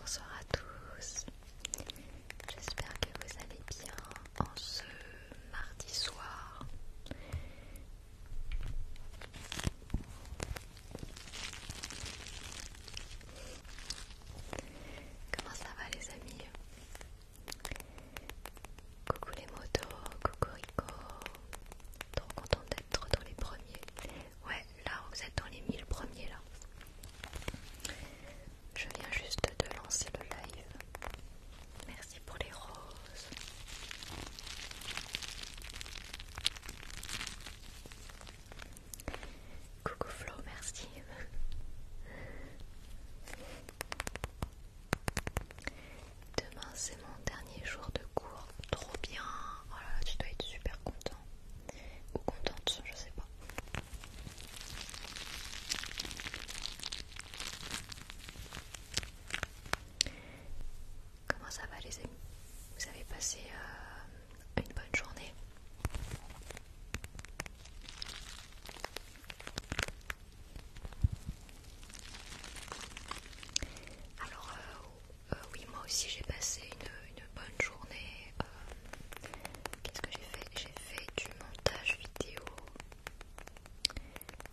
Bonsoir à tous, j'espère que vous allez bien en ce mardi soir. Comment ça va les amis Coucou les motos, coucou Rico, trop content d'être dans les premiers. Ouais, là vous êtes dans les 1000 premiers là. Je viens juste de lancer le live. Merci pour les roses. Coucou Flo, merci. Demain c'est mon dernier jour de cours. Trop bien. Oh tu dois être super content. Ou contente, je sais pas. Comment ça va les amis Vous avez passé euh, une bonne journée alors euh, euh, oui, moi aussi j'ai passé une, bonne journée. Euh, qu'est-ce que j'ai fait J'ai fait du montage vidéo.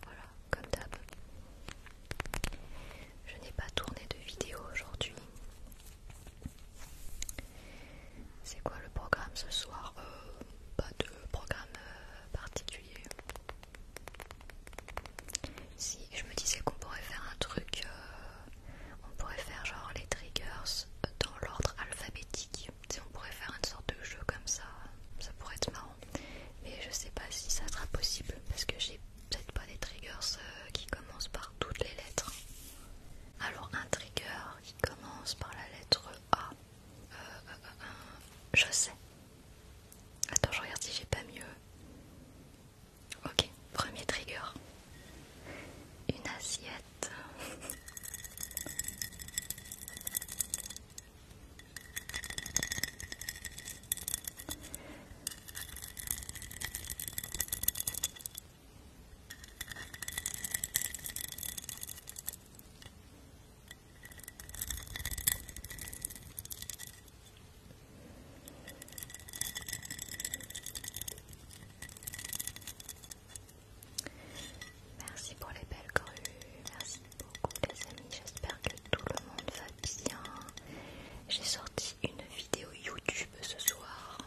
Voilà, comme d'hab. Je n'ai pas tourné de vidéo aujourd'hui. C'est quoi le programme ce soir euh, Pas de programme particulier. Si je me disais qu'on pourrait faire un truc, euh, on pourrait faire genre les triggers dans l'ordre alphabétique. on pourrait faire une sorte de jeu comme ça, ça pourrait être marrant. Mais je sais pas si ça sera possible parce que j'ai peut-être pas des triggers euh, qui commencent par toutes les lettres. Alors un trigger qui commence par la lettre A. Euh, je sais. Attends, je regarde si j'ai pas mieux. Ok, premier trigger. Une assiette. Merci pour les belles crues merci beaucoup les amis, j'espère que tout le monde va bien. J'ai sorti une vidéo YouTube ce soir.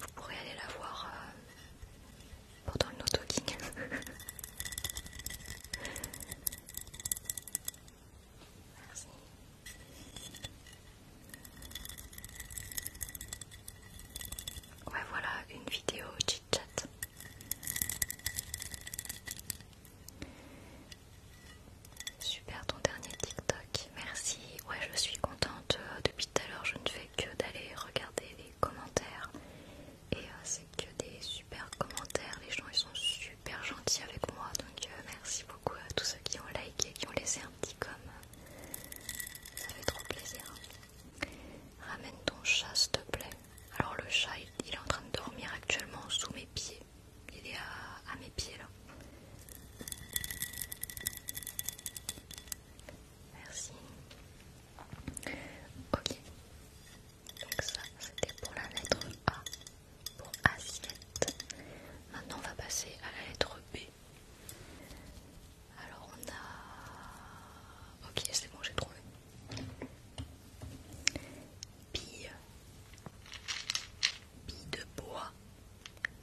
Vous pourrez aller la voir euh, pendant le no-talking. Ouais, voilà une vidéo chit chat. Super ton dernier TikTok. Merci. Ouais, je suis contente. Euh, depuis tout à l'heure, je ne fais que d'aller regarder les commentaires et euh, c'est que des super commentaires. Les gens ils sont super super gentil avec moi. Donc euh, merci beaucoup à tous ceux qui ont liké, qui ont laissé un petit comme Ça fait trop plaisir. Ramène ton chat s'il te plaît. Alors le chat il, est en train de dormir actuellement sous mes pieds. Il est à mes pieds là. Merci. Ok. Donc ça c'était pour la lettre A pour assiette. Maintenant, on va passer à la lettre B. Alors, on a. Ok, c'est bon, j'ai trouvé. Pille Bille de bois.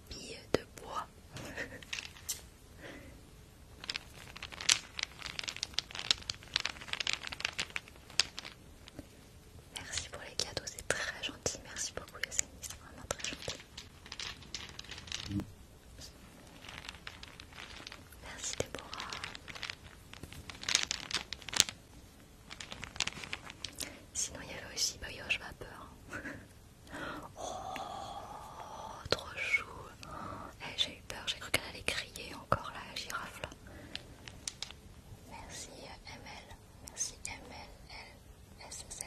Pille de bois. Merci pour les cadeaux, c'est très gentil. Merci beaucoup les c'est vraiment très gentil. Merci Déborah. Sinon il y avait aussi Bayoche Vapeur. oh, trop chou. Hé, eh, j'ai eu peur, j'ai cru qu'elle allait crier encore la girafe Merci ML. Merci Z.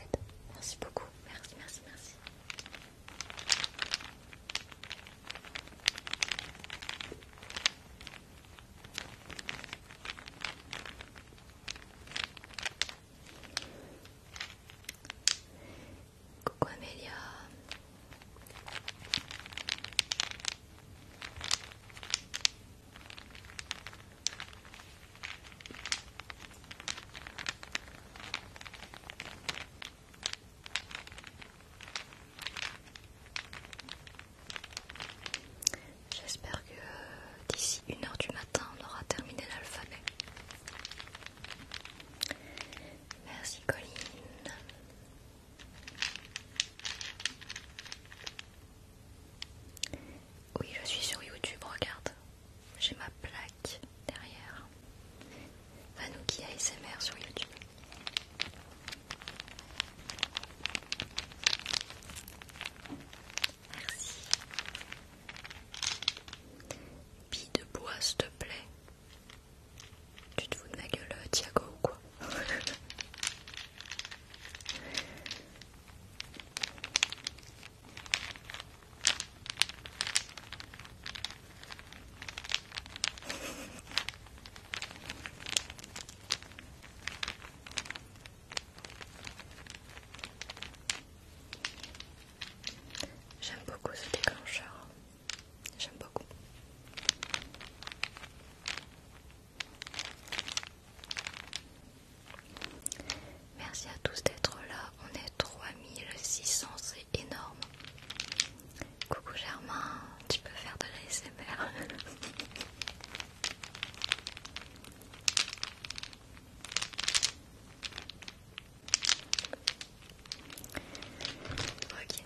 Merci beaucoup. Merci, merci, merci. Coucou Amelia. J'espère que d'ici une heure du matin, on aura terminé l'alphabet. Merci Colline. Oui, je suis sur YouTube, regarde. J'ai ma plaque derrière. Vanouki ASMR sur YouTube. Merci. Bille de bois, s'il te plaît. Tu te fous de ma gueule, euh, Thiago ou quoi J'aime beaucoup ce déclencheur. J'aime beaucoup. Merci à tous d'être là. On est 3600, c'est énorme. Coucou Germain, tu peux faire de la ok.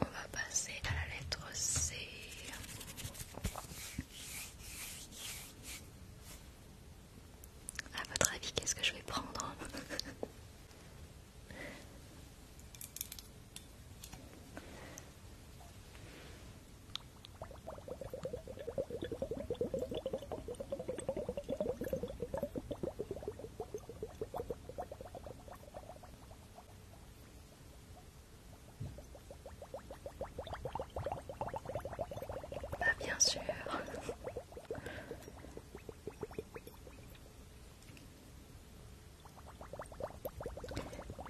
On va passer à la lettre C. À votre avis, qu'est-ce que je vais prendre bah bien sûr.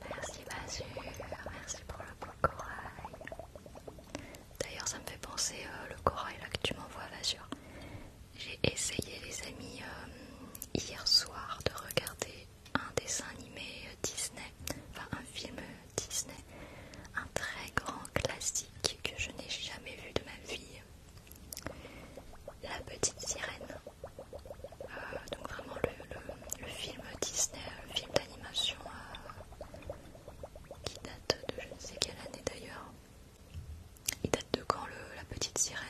Merci Basur merci pour le beau corail. D'ailleurs ça me fait penser euh, le corail là que tu m'envoies Basur J'ai essayé les amis euh, hier soir de regarder un dessin animé euh, Disney, enfin un film euh, Disney, un très grand classique que je n'ai jamais vu de ma vie, La Petite Sirène. Euh, donc vraiment le, film Disney, le film d'animation qui date de je ne sais quelle année d'ailleurs. Il date de quand le, La Petite Sirène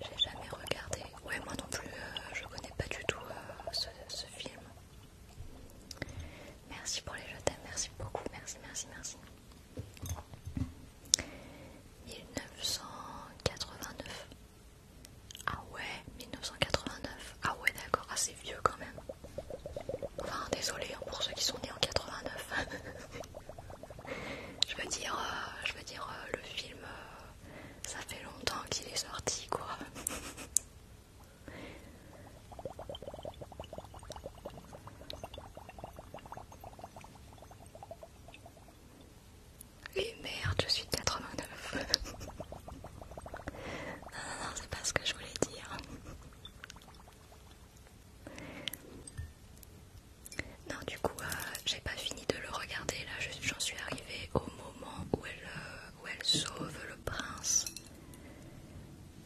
j'ai jamais regardé. Ouais, moi non plus, euh, je connais pas du tout euh, ce, film. Merci pour les jetons. merci beaucoup, merci, merci, merci. 1989. Ah ouais, 1989. Ah ouais, d'accord, assez ah, vieux quand même. Enfin, désolé hein, pour ceux qui sont nés en 89. je veux dire, euh, euh, le film, euh, ça fait longtemps qu'il est sorti quoi. Et merde, je suis 89. non, non, non, c'est pas ce que je voulais dire. Non, du coup, euh, j'ai pas fini de le regarder. Là, j'en suis arrivée au moment où elle, euh, où elle sauve le prince.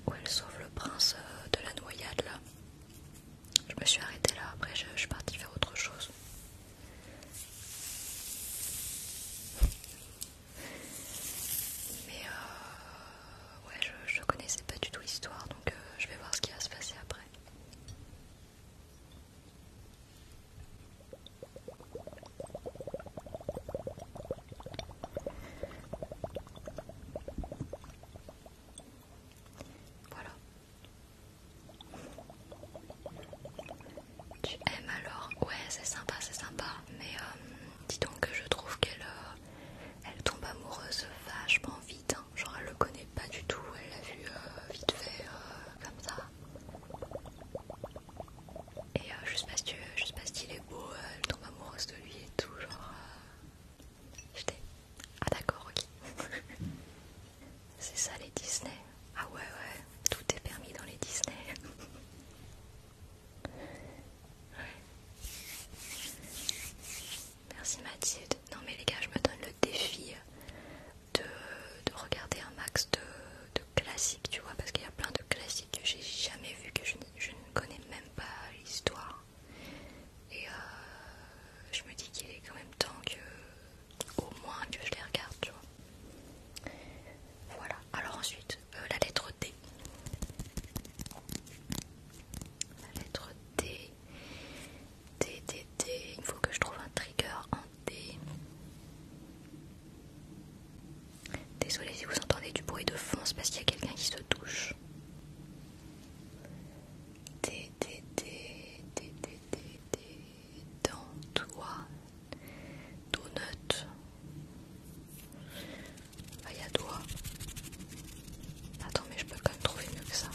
Où elle sauve le prince euh, de la noyade, là. Je me suis arrêtée là. Après, je, suis partie faire autre chose. Mais ouais, je, connaissais pas du tout l'histoire, donc je vais voir ce qui va se passer après. Voilà. Tu aimes alors Ouais, c'est sympa, c'est sympa. Mais euh, dis donc que je trouve qu'elle euh, elle tombe amoureuse vachement vite genre elle le connaît pas du tout, elle l'a vu euh, vite fait euh, comme ça. Et euh, je sais pas je est beau, elle tombe amoureuse de lui et tout, genre. Je t'ai Ah d'accord, ok. C'est ça les Disney. Ah ouais ouais, tout est permis dans les Disney. Merci Mathilde. Non mais les gars, je me donne le défi de, regarder un max de, classiques, tu vois, parce qu'il y a plein de classiques que j'ai jamais vu, que je, ne connais même pas l'histoire. Et euh, je me dis qu'il est quand même temps que, au moins, que je les regarde, tu vois. Voilà. Alors ensuite, euh, la lettre D. La lettre D. D, Il faut que je trouve un trigger en D. Désolée si vous entendez du bruit de fond, c'est parce qu'il y a quelqu'un qui se touche. D, D, D, D, dans toi, donut. Ah, il y a toi. Attends, mais je peux quand même trouver mieux que ça.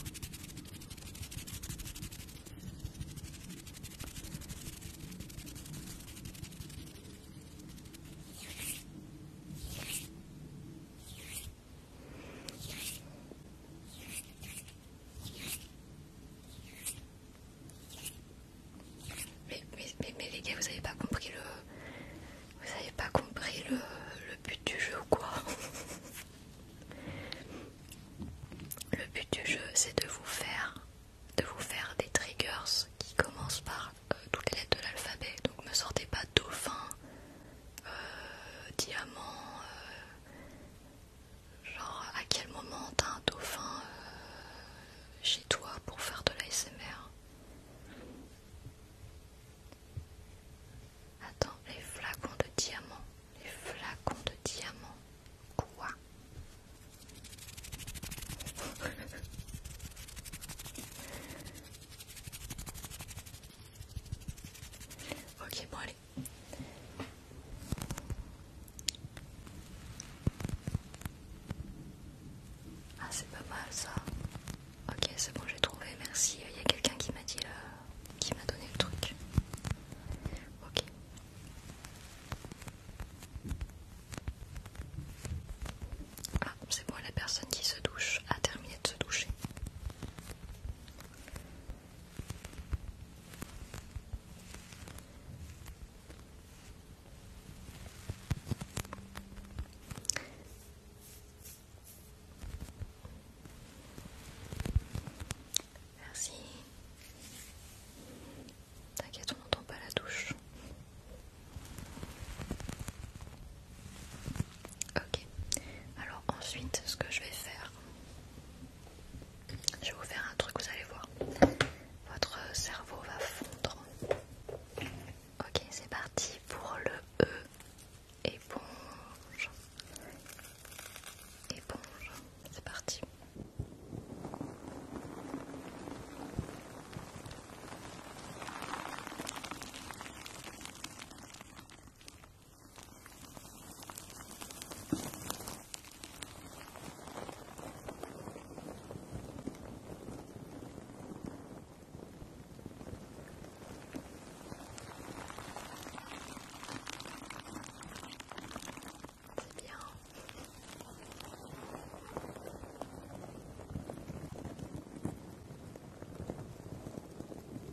Mais, mais, mais, les gars, vous avez pas compris le... Vous avez pas compris le, le but du jeu ou quoi le but du jeu, c'est de vous faire de vous faire des triggers qui commencent par euh, toutes les lettres de l'alphabet. Donc ne sortez pas dauphin, euh, diamant, euh, genre à quel moment t'as un dauphin chez toi pour faire de l'ASMR. Attends, les flacons de diamants. Les flacons de diamants. Quoi Ok, bon allez. Ah c'est pas mal ça. Ok, c'est bon, j'ai trouvé, merci. Il y a quelqu'un qui m'a dit là, euh, qui m'a donné le truc. Ah, c'est moi la personne qui se douche a terminé de se doucher. Merci. T'inquiète, on n'entend pas la douche. Ok. Alors ensuite, ce que je vais faire, je vais vous faire un truc, vous allez voir. Votre cerveau va fondre. Ok, c'est parti pour le E éponge, éponge, c'est parti. C'est bien.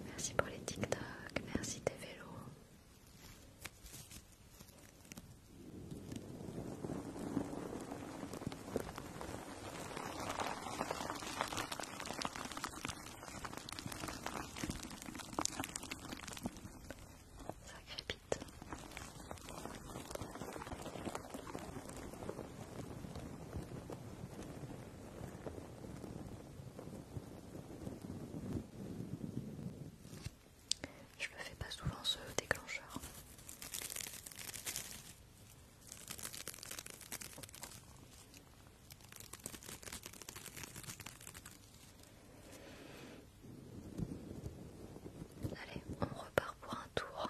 Merci pour les TikTok, merci tes vélos. Ça crépite. Je le fais pas souvent ce déclencheur. Allez, on repart pour un tour.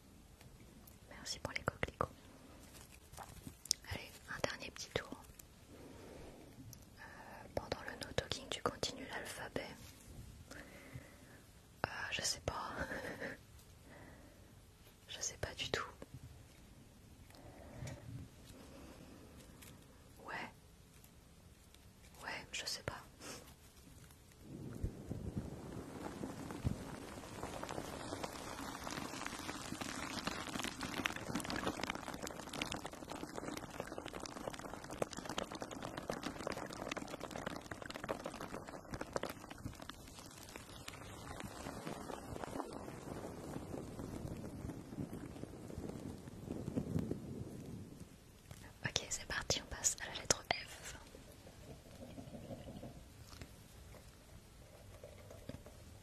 Merci pour les coquelicots. Allez, un dernier petit tour. Euh, pendant le no-talking, tu continues l'alphabet. Euh, je sais pas. je sais pas du tout. Ouais. Ouais, je sais pas. Ok, c'est parti, on passe à la lettre F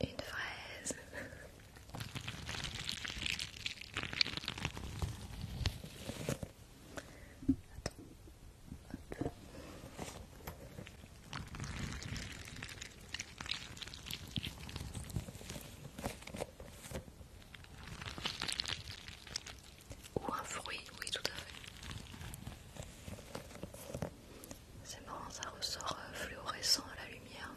une fraise. Ou un fruit, oui tout à fait. C'est marrant, ça ressort euh, fluorescent à la lumière.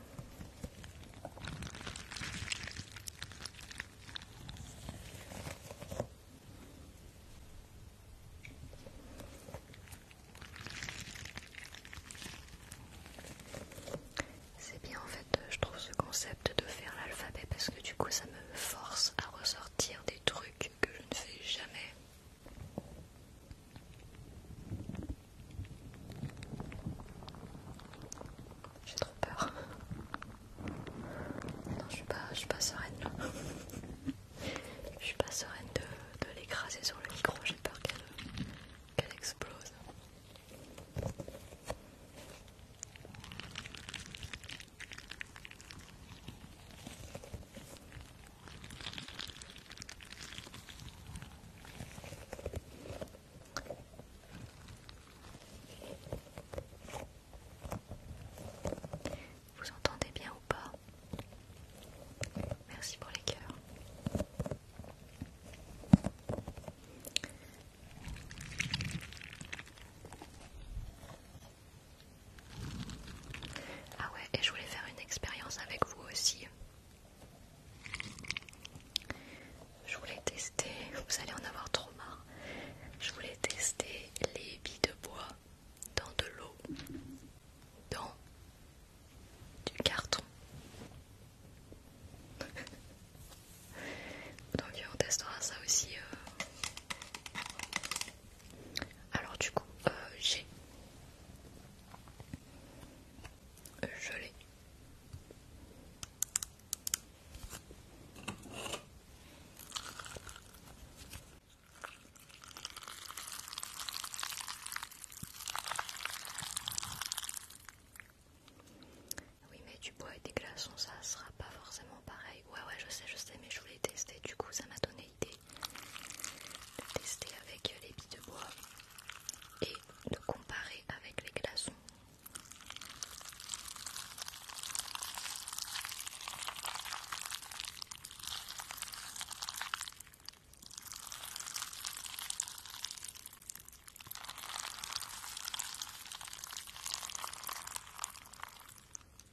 C'est bien en fait, euh, je trouve ce concept de faire l'alphabet parce que du coup ça me force à ressortir des trucs que je ne fais jamais j'ai trop peur. Non, je suis pas, je suis pas sereine Je suis pas sereine de, l'écraser sur le micro. J'ai peur qu'elle explose. Vous entendez bien ou pas Merci pour les cœurs. Ah ouais, et je voulais faire une expérience avec vous aussi. Je voulais tester, vous allez en avoir trop marre. Je voulais tester les billes de bois dans de l'eau, dans du carton. Donc on testera ça aussi euh, alors du coup, euh, j'ai... Euh, je l'ai. Oui mais du bois et des glaçons ça sera pas forcément pareil. Ouais ouais je sais je sais mais je voulais tester du coup ça m'a donné l'idée de tester avec les billes de bois et de comparer avec les glaçons.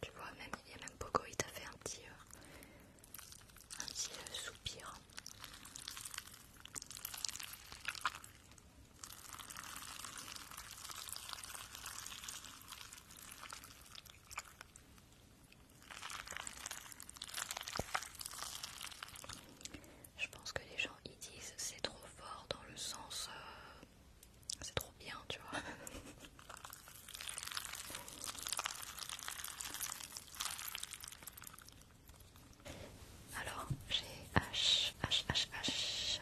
Tu vois, même il y a même Pogo, il t'a fait un petit, euh, petit euh, soupir. Je pense que les gens y disent c'est trop fort dans le sens euh, c'est trop bien, tu vois. Alors j'ai H, H, H, H,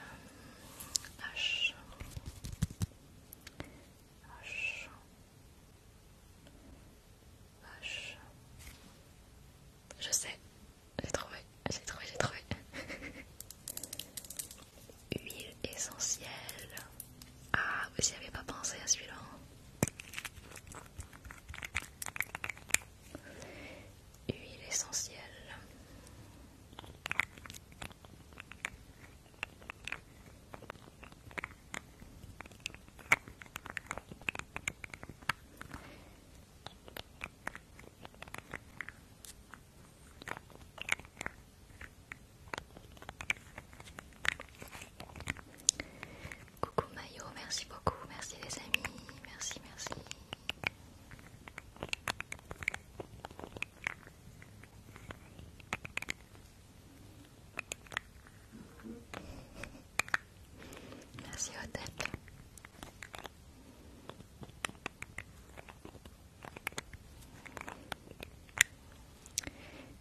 je sais, j'ai trouvé, j'ai trouvé, j'ai trouvé. Huile essentielle. Ah, vous n'y avez pas pensé à celui-là. Hein. Huile essentielle. Coucou Mayo, merci beaucoup, merci les amis, merci, merci. Merci Odette.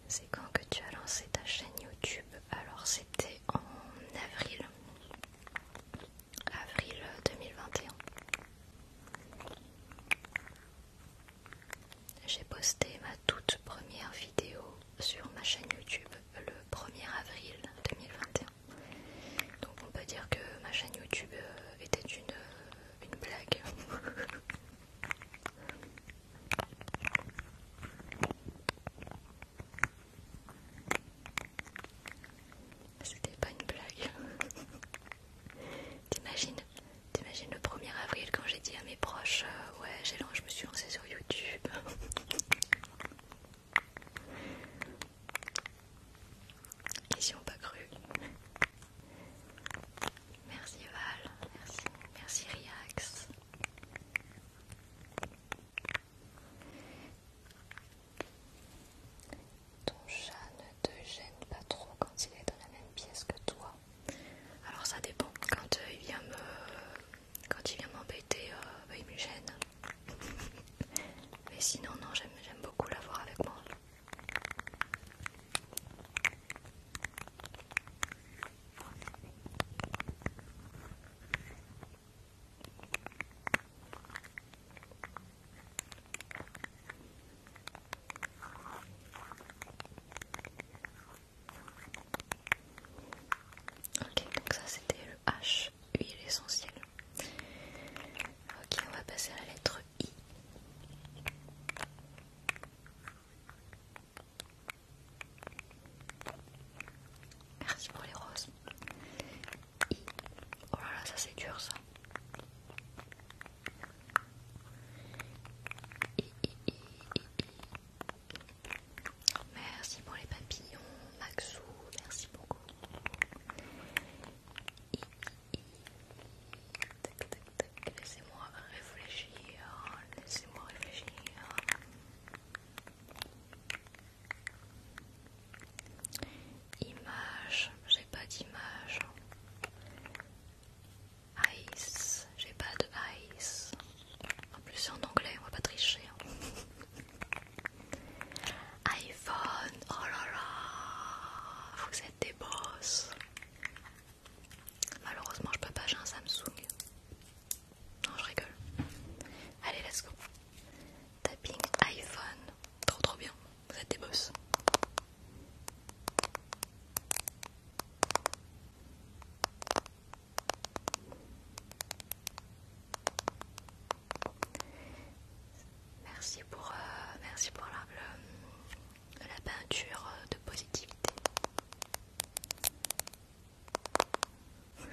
C'est quand que tu as lancé ta chaîne YouTube Alors c'était en avril. Avril 2021. J'ai posté ma toute première vidéo sur ma chaîne YouTube le 1er avril 2021. Donc on peut dire que ma chaîne YouTube euh, était une, euh, blague. C'était pas une blague. T'imagines T'imagines le 1er avril quand j'ai dit à mes proches euh, ouais j'ai je me suis lancée YouTube. Et pas cru. Merci Val, merci, merci Riax. Ton chat ne te gêne pas trop quand il est dans la même pièce que toi. Alors ça dépend. Quand euh, il vient me quand il vient m'embêter, euh, bah, il me gêne. Mais sinon, non, j'aime beaucoup l'avoir avec moi. Ok, donc ça c'était le H, huile essentielle. Ok, on va passer à la lettre I. Merci pour les roses. I. Oh là là, ça c'est dur ça. Merci pour les papillons, Maxou, merci beaucoup. Laissez-moi réfléchir, laissez-moi réfléchir. Image, j'ai pas d'image. Ice, j'ai pas de ice. En plus c'est en anglais, on va pas tricher. Hein. iPhone, oh là là, vous êtes des boss. Malheureusement je peux pas, j'ai un Samsung. Non je rigole. Allez let's go. Tapping iPhone, trop trop bien, vous êtes des boss. Merci pour, euh, merci pour la, peinture euh, de positivité.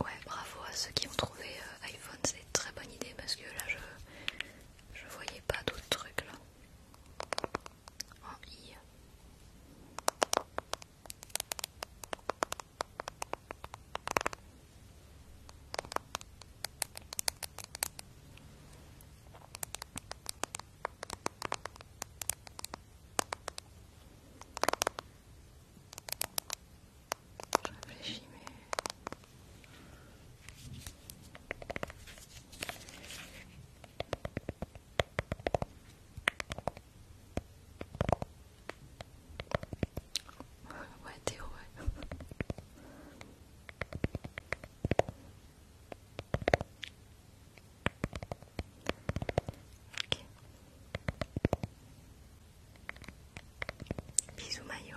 ouais, bravo à ceux qui ont trouvé euh, iPhone, c'est une très bonne idée parce que là je, je voyais pas d'autres trucs là en I. Je réfléchis, mais. Ouais, Théo, ouais. ok. maillot.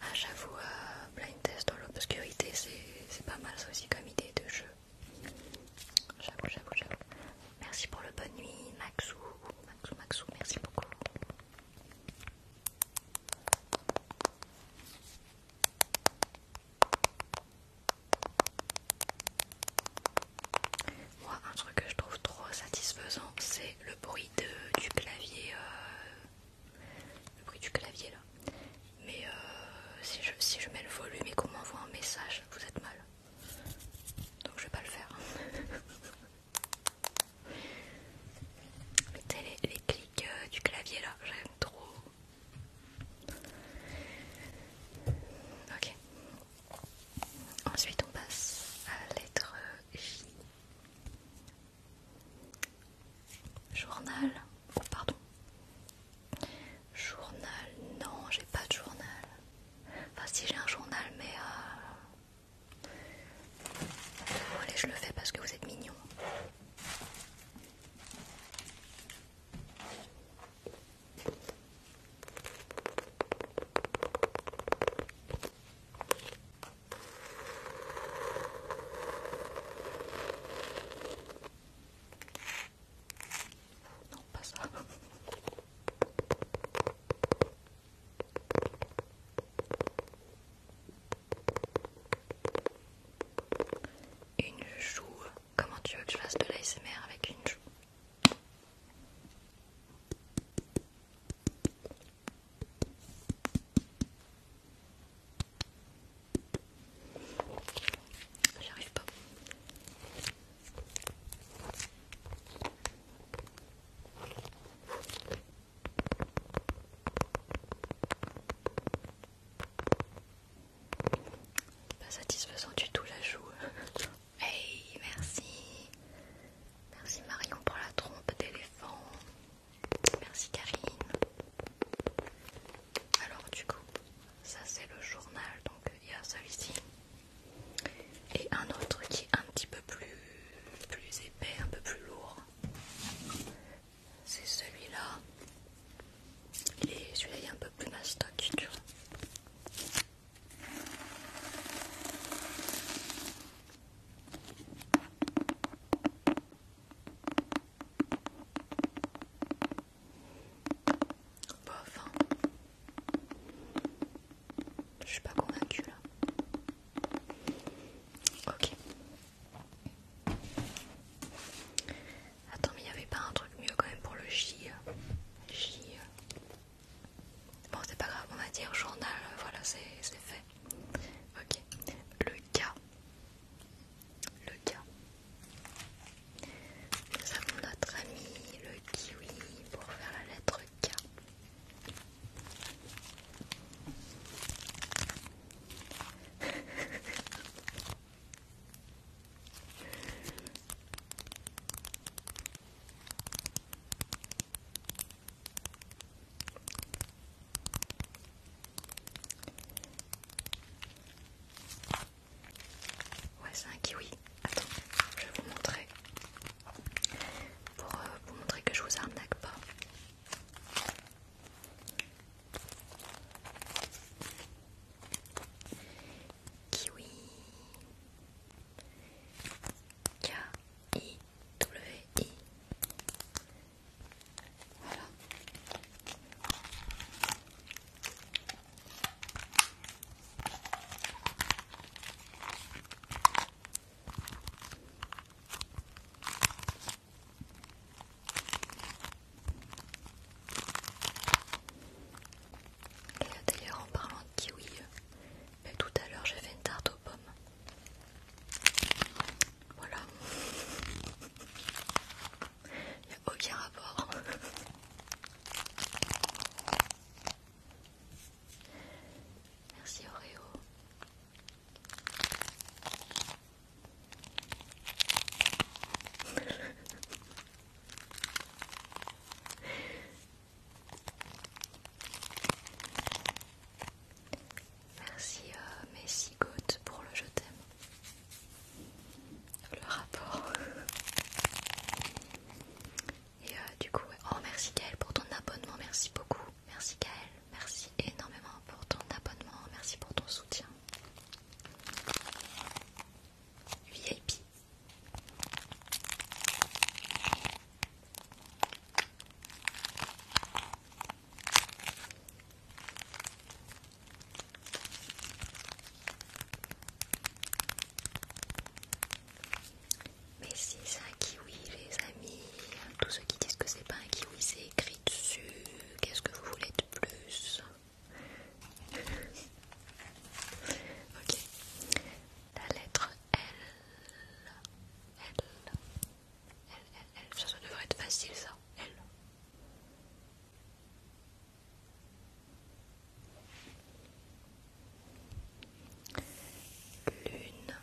Ah, j'avoue, euh, blind test dans l'obscurité, c'est pas mal, aussi comme idée de jeu. J'avoue, j'avoue, j'avoue. Merci pour le bonne nuit, Maxou. Maxou, Maxou, merci beaucoup. Moi, un truc que je trouve trop satisfaisant, c'est le bruit du clavier, euh, le bruit du clavier là. Mais euh, si, je, si je mets le volume et qu'on m'envoie un message, vous êtes mal. Donc je vais pas le faire. mettez les, clics euh, du clavier là, j'aime trop. Ok. Ensuite on passe à la lettre J. Journal oh, Pardon. Journal Non, j'ai pas de journal. Enfin, si j'ai un journal, mais. Euh, allez, je le fais parce que vous êtes mignon. Non, pas ça. Une joue. Comment tu veux que je fasse de l'ASMR avec une joue J'arrive pas. Pas satisfaisant du tout la joue. Hey, merci. Merci Marion pour la trompe d'éléphant. Merci Karine. Alors du coup, ça c'est le journal, donc il y a celui-ci. Et un autre qui est un petit peu plus, plus épais, un peu plus lourd. C'est celui-là. celui-là est un peu plus mastoc, tu vois. Bon, enfin, je suis pas convaincue là. Ok. Attends, mais il n'y avait pas un truc mieux quand même pour le J. Euh, J. Euh. Bon, c'est pas grave, on va dire journal, euh, voilà, c'est fait. Ok. Le cas. Le cas. Nous avons notre ami le kiwi pour faire la lettre K. Ouais, c'est un kiwi. Attends, je vais vous montrer. Pour euh, vous montrer que je vous arnaque pas. Kiwi. k i W-I. Voilà. d'ailleurs en parlant de kiwi, mais euh, tout à l'heure j'ai fait une tarte aux pommes. Voilà. Il n'y a aucun rapport. Merci Oreo. Merci euh, Messi Goat pour le je t'aime. Le rapport. Et euh, du coup, oh merci Gaël pour ton abonnement, merci beaucoup. Merci Gaël, merci énormément pour ton abonnement, merci pour ton soutien. VIP. Mais si c'est un kiwi, les amis, tous ceux qui disent que c'est pas un kiwi, c'est écrit dessus. Qu'est-ce que vous voulez de plus Ok, la lettre L. L. Elle, elle, elle, ça, devrait être facile, ça. Elle. Lune,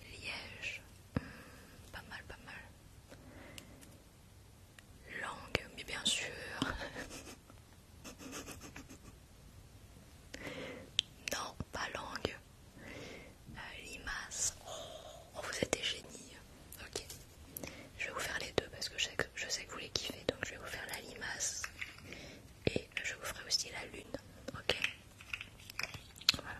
liège, hmm, pas mal, pas mal. Langue, mais bien sûr. non, pas langue. Euh, limace oh, vous êtes des génies. Ok. Je vais vous faire les deux parce que je sais que, je sais que vous les kiffez. Donc je vais vous faire la limace et je vous ferai aussi la lune. Ok. Voilà.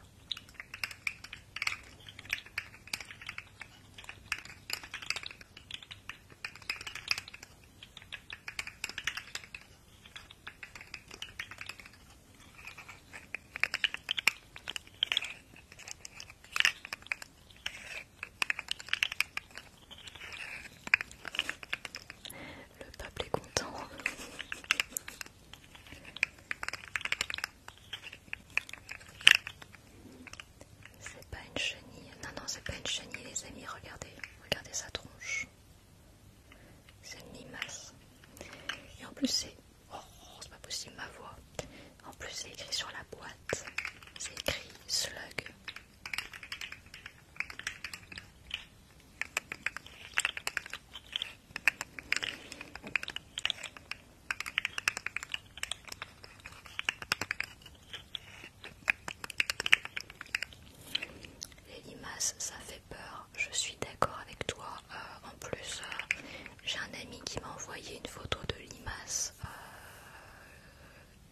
Le peuple est content. C'est pas une chenille. Non, non, c'est pas une chenille, les amis. Regardez, regardez sa tronche. C'est une limace. Et en plus, c'est Oh, c'est pas possible ma voix. En plus, c'est écrit sur la boîte. C'est écrit slug. Les limaces, ça fait peur je suis d'accord avec toi. Euh, en plus, euh, j'ai un ami qui m'a envoyé une photo de limaces euh,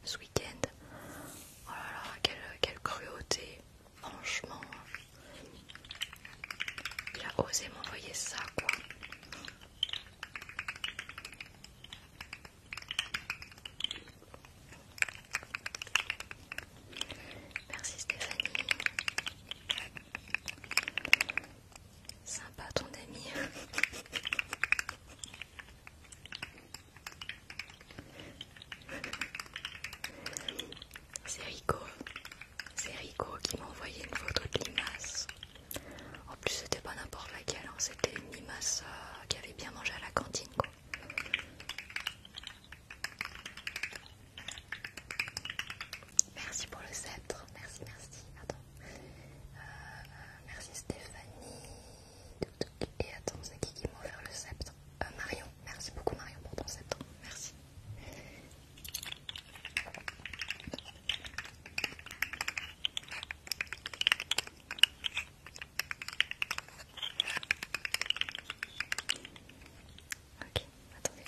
ce week-end. Oh là là, quelle, quelle cruauté, franchement. Il a osé m'envoyer ça, quoi. Merci Stéphanie. Sympa ton ami. C'est Rico. C'est Rico qui m'a envoyé une photo de limace. En plus c'était pas n'importe laquelle, hein. c'était une limace euh, qui avait bien mangé à la cantine Merci pour le sceptre. Merci, merci. Attends. Euh, merci Stéphanie. Et attends, c'est qui qui m'a offert le sceptre euh, Marion. Merci beaucoup Marion pour ton sceptre. Merci. Ok, attendez.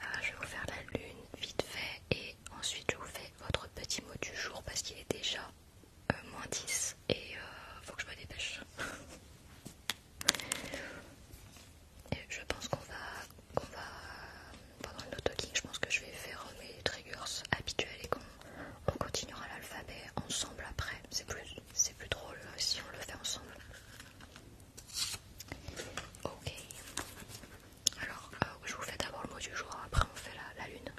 Ah, je vais vous faire la lune vite fait et ensuite je vous fais votre petit mot du jour parce qu'il est déjà euh, moins 10 et euh, faut que je me dépêche je pense qu'on va, qu'on va pendant le talking je pense que je vais faire mes triggers habituels et qu'on continuera l'alphabet ensemble après. C'est plus, drôle euh, si on le fait ensemble. Ok. Alors, euh, je vous fais d'abord le mot du jour, après on fait la lune.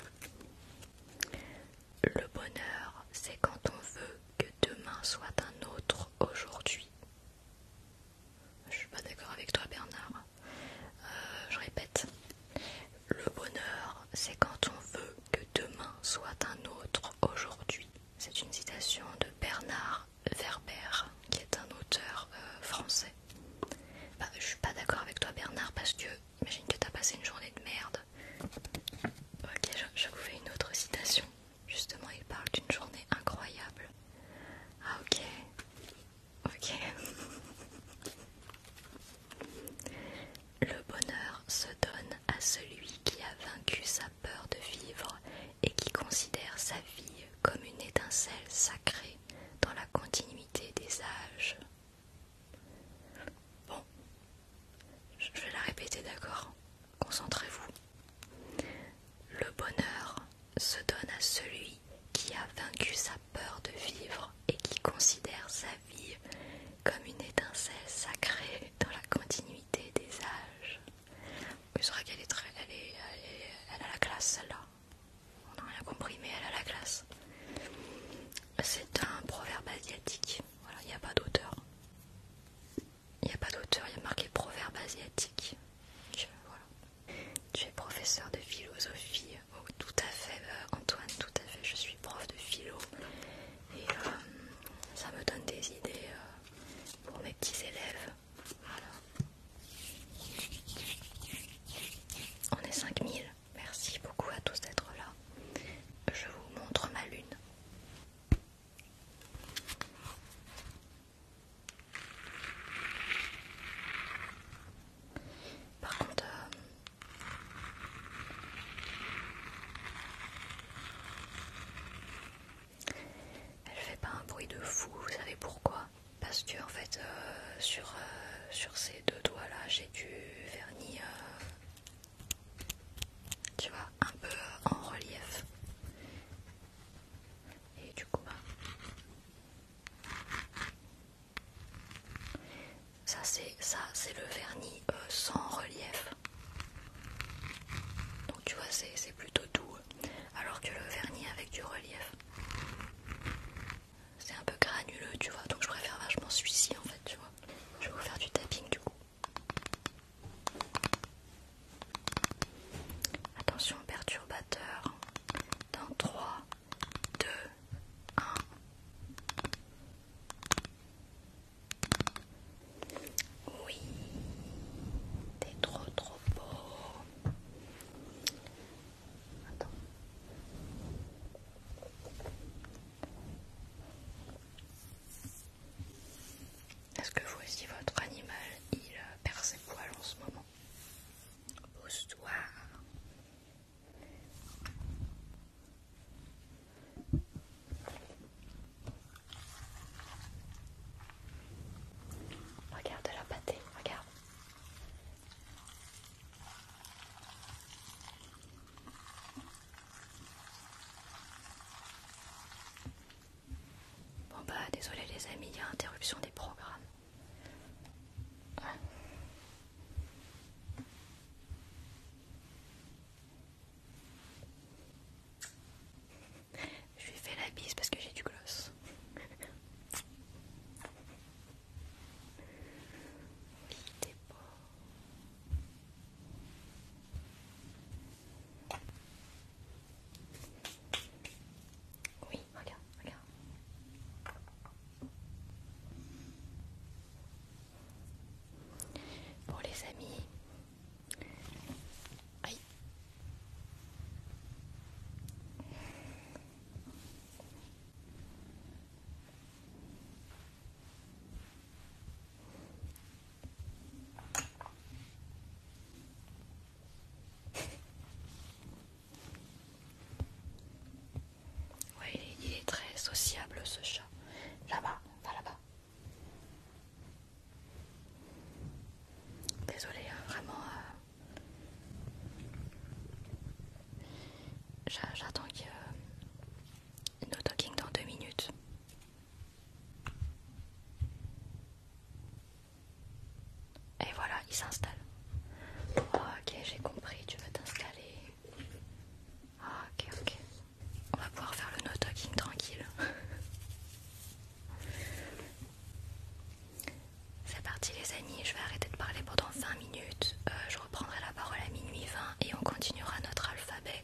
Le bonheur, c'est quand on veut que demain soit un autre aujourd'hui. Je suis pas d'accord avec toi, Bernard. Euh, je répète, le bonheur, c'est quand on veut que demain soit un autre aujourd'hui. C'est une citation de Bernard Werber, qui est un auteur euh, français. Bah, je suis pas d'accord avec toi, Bernard, parce que imagine que t'as passé une journée de merde. Ok, je vous fais une autre citation. Justement, il parle d'une journée incroyable. Ah ok. Ok. Le bonheur se donne à celui qui a vaincu sa peur de vivre et qui considère sa vie comme une étincelle sacrée dans la continuité des âges. Bon, je vais la répéter, d'accord Concentrez-vous. Le bonheur se donne à celui qui a vaincu sa peur de vivre et qui considère sa vie comme une étincelle sacrée dans la continuité des âges. C'est vrai qu'elle est très. Elle, a la classe celle-là. On n'a rien compris, mais elle a la classe. C'est un proverbe asiatique. Voilà, il n'y a pas d'auteur. Il n'y a pas d'auteur, il y a marqué proverbe asiatique. Tu es professeur de philosophie. Oh, tout à fait, euh, Antoine, tout à fait. Je suis prof de philo. Et euh, ça me donne des idées euh, pour mes petits élèves. Voilà. On est 5000. Merci beaucoup à tous d'être là. Je vous montre ma lune. Par contre, euh, elle fait pas un bruit de fou, vous savez pourquoi Parce que en fait, euh, sur, euh, sur ces deux doigts là, j'ai du vernis, tu vois, un peu en relief. Et du coup, bah, ça c'est ça c'est le vernis euh, sans relief. Donc tu vois c'est plutôt doux, alors que le vernis avec du relief, c'est un peu granuleux, tu vois. Donc je préfère vachement celui-ci en fait, tu vois. Je vais vous faire du tapping du coup. Attention perturbateur. Dans 3, 2, 1. Oui, t'es trop trop beau. Attends. Est-ce que vous aussi votre animal il perd ses poils en ce moment Pousse-toi. Regarde la pâtée, regarde. Bon bah désolé les amis, il y a interruption des programmes. Je lui fais la bise parce que j'ai du gloss. Oui, regarde, regarde. pour les amis. Ouais, il est, très sociable ce chat. Là-bas, va là-bas. Désolée, hein, vraiment. Euh, j'attends qu'il y euh, ait nos talking dans deux minutes. Et voilà, il s'installe. Oh, ok, j'ai compris, tu veux t'installer. Ah, ok, ok. On va pouvoir faire le no-talking tranquille. C'est parti les amis, je vais arrêter de parler pendant 20 minutes. Euh, je reprendrai la parole à minuit 20 et on continuera notre alphabet.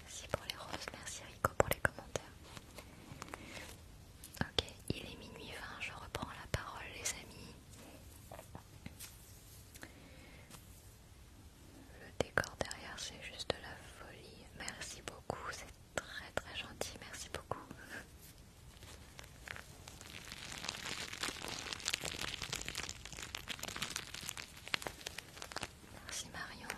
Merci pour les roses, merci Rico pour les commentaires. Ok, il est minuit 20, je reprends la parole les amis. Le décor derrière c'est juste de la folie. Merci beaucoup, c'est très très gentil, merci beaucoup. Merci Marion.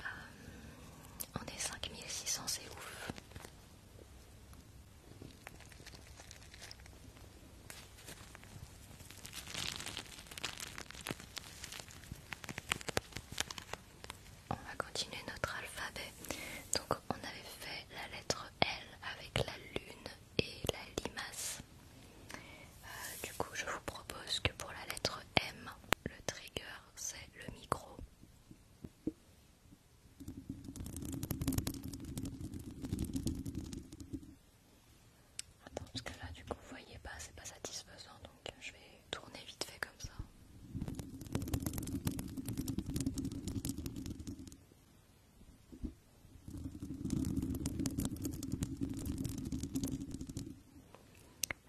Euh, on est 5600, c'est ouf. On va continuer notre alphabet. Donc on avait fait la lettre L avec la lune et la limace. Euh, du coup, je vous propose que pour la lettre M, le trigger c'est le micro. Attends, parce que là, du coup, vous voyez pas, c'est pas satisfaisant donc je vais tourner vite fait comme ça.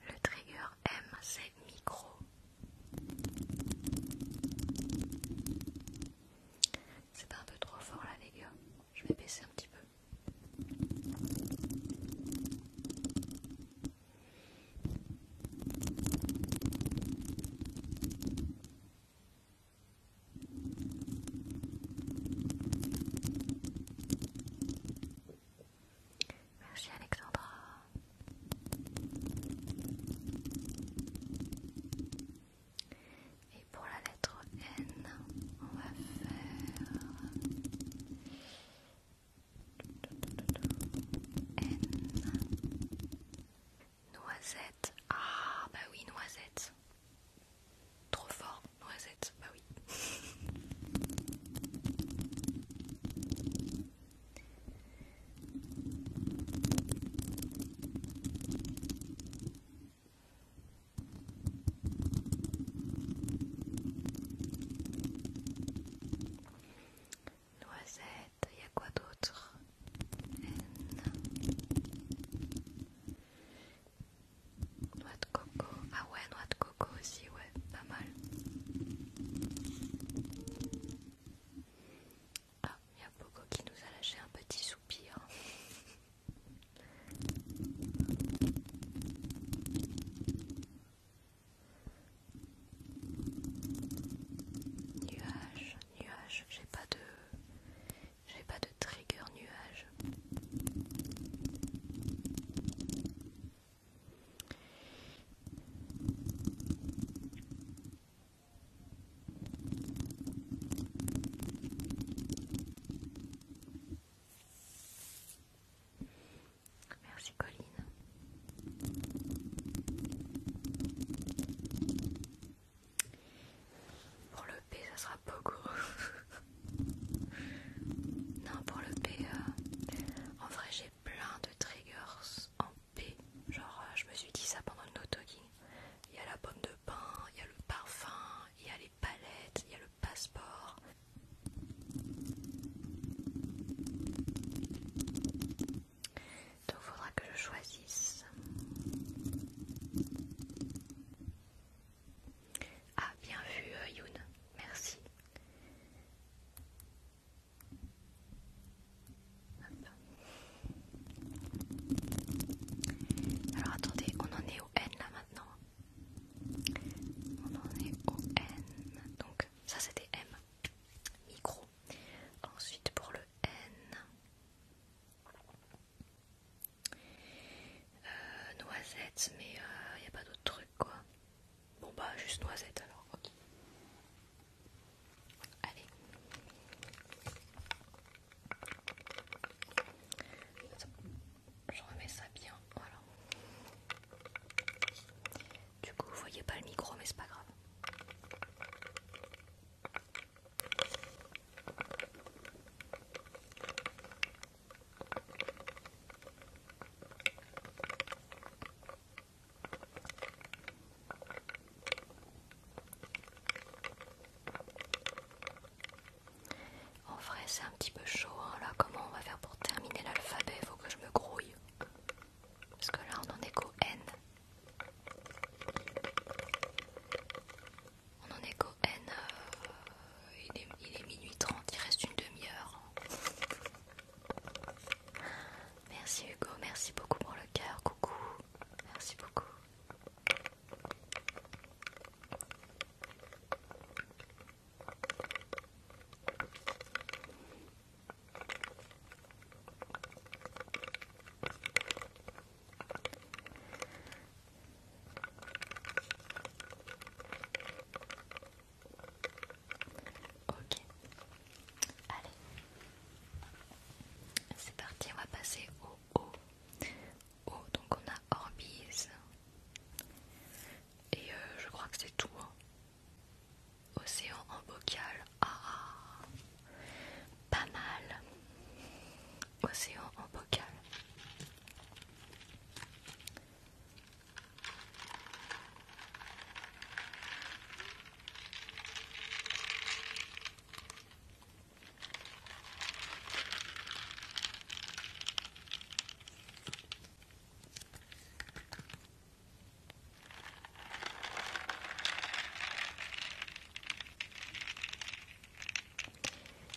Le trigger M c'est micro. C'est un peu trop fort là les gars, je vais baisser un petit peu. Merci Alexandra. Et pour la lettre N, on va faire N. Noisette. Ah bah oui, noisette. Trop fort. Noisette, bah oui. Noisette, il y a quoi d'autre Noix de coco. Ah ouais, noix de coco aussi, ouais, pas mal. Ah, il y a Poco qui nous a lâché un petit soupir. Nuage, nuage, j'ai pas de j'ai pas de trigger nuage Merci Colline. Pour le P, ça sera pas gros non, pour le PE, euh, en vrai, j'ai plein de triggers en P. Genre, euh, je me suis dit ça pendant le no-talking. Il y a la pomme de pain, il y a le parfum, il y a les palettes, il y a le passeport. Donc, il faudra que je choisisse. Ah, bien vu, euh, Youn, merci. Alors attendez, on en est au N là maintenant. On en est au N. Donc ça c'était M. Micro. Ensuite pour le N. Noisette, euh, noisettes, mais il euh, n'y a pas d'autre truc quoi. Bon bah juste noisette alors. ok. Allez. Je remets ça bien, voilà. Du coup, vous voyez pas le micro, mais c'est pas grave. En vrai, c'est un petit peu chaud. Hein, là, comment on va faire pour terminer l'alphabet Faut que je me grouille. Parce que là, on en est qu'au N. On en est qu'au N. Euh, il est, minuit 30, il reste une demi-heure. Merci Hugo, merci beaucoup pour le cœur, coucou, merci beaucoup. Ok. Allez. C'est parti, on va passer au haut. donc on a Orbis Et euh, je crois que c'est tout. Hein. Océan en bocal. Ah, ah Pas mal. Océan en bocal.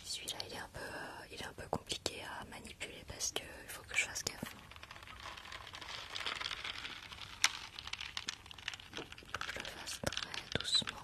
Celui-là, il est un peu, euh, il est un peu compliqué à manier. Parce que il faut que je fasse gaffe. fond, je le fasse très doucement.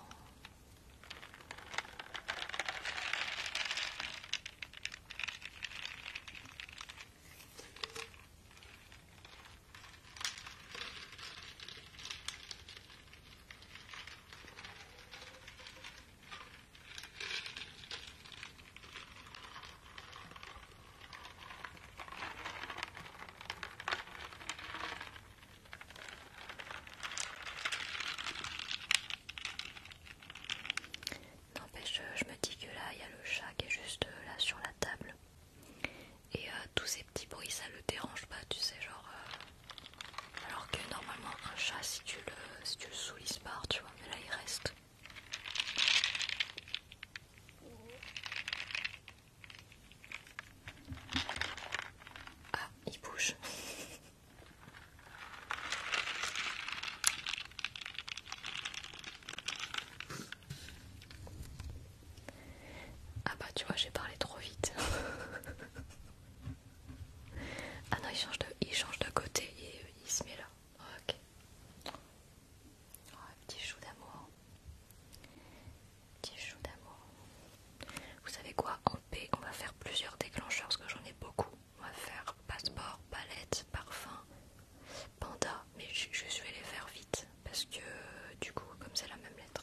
N'empêche, je me dis que là, il y a le chat qui est juste euh, là sur la table. Et euh, tous ces petits bruits, ça le dérange pas, tu sais, genre... Euh, alors que normalement, un chat, si tu le, si tu le soulises pas, tu vois, mais là, il reste. Ah, il bouge. Ah bah tu vois, j'ai parlé trop vite. ah non, il change de, il change de côté et il se met là. Ok. Oh, un petit chou d'amour. Petit chou d'amour. Vous savez quoi En P, on va faire plusieurs déclencheurs parce que j'en ai beaucoup. On va faire passeport, palette, parfum, panda. Mais je, je vais les faire vite parce que du coup, comme c'est la même lettre.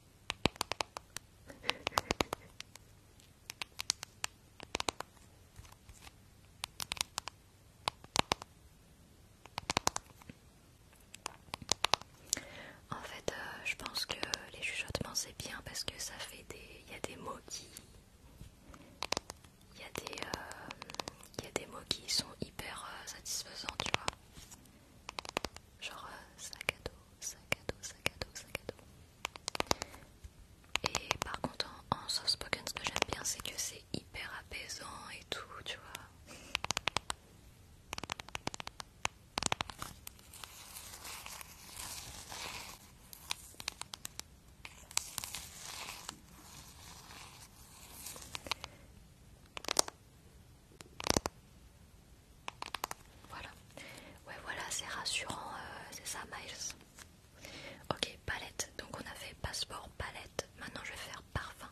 En fait, euh, je pense que les chuchotements c'est bien parce que ça fait des. Il y a des mots qui. Il y, euh, y a des mots qui sont hyper euh, satisfaisants, tu vois genre euh, sac à dos, sac à dos, sac à dos, sac à dos. Et par contre, en, soft spoken, ce que j'aime bien, c'est que c'est hyper apaisant et tout, tu vois. Voilà. Ouais, voilà, c'est rassurant, euh, c'est ça, Miles. Ok, palette. Donc on a fait passeport, palette. Maintenant je vais faire parfum.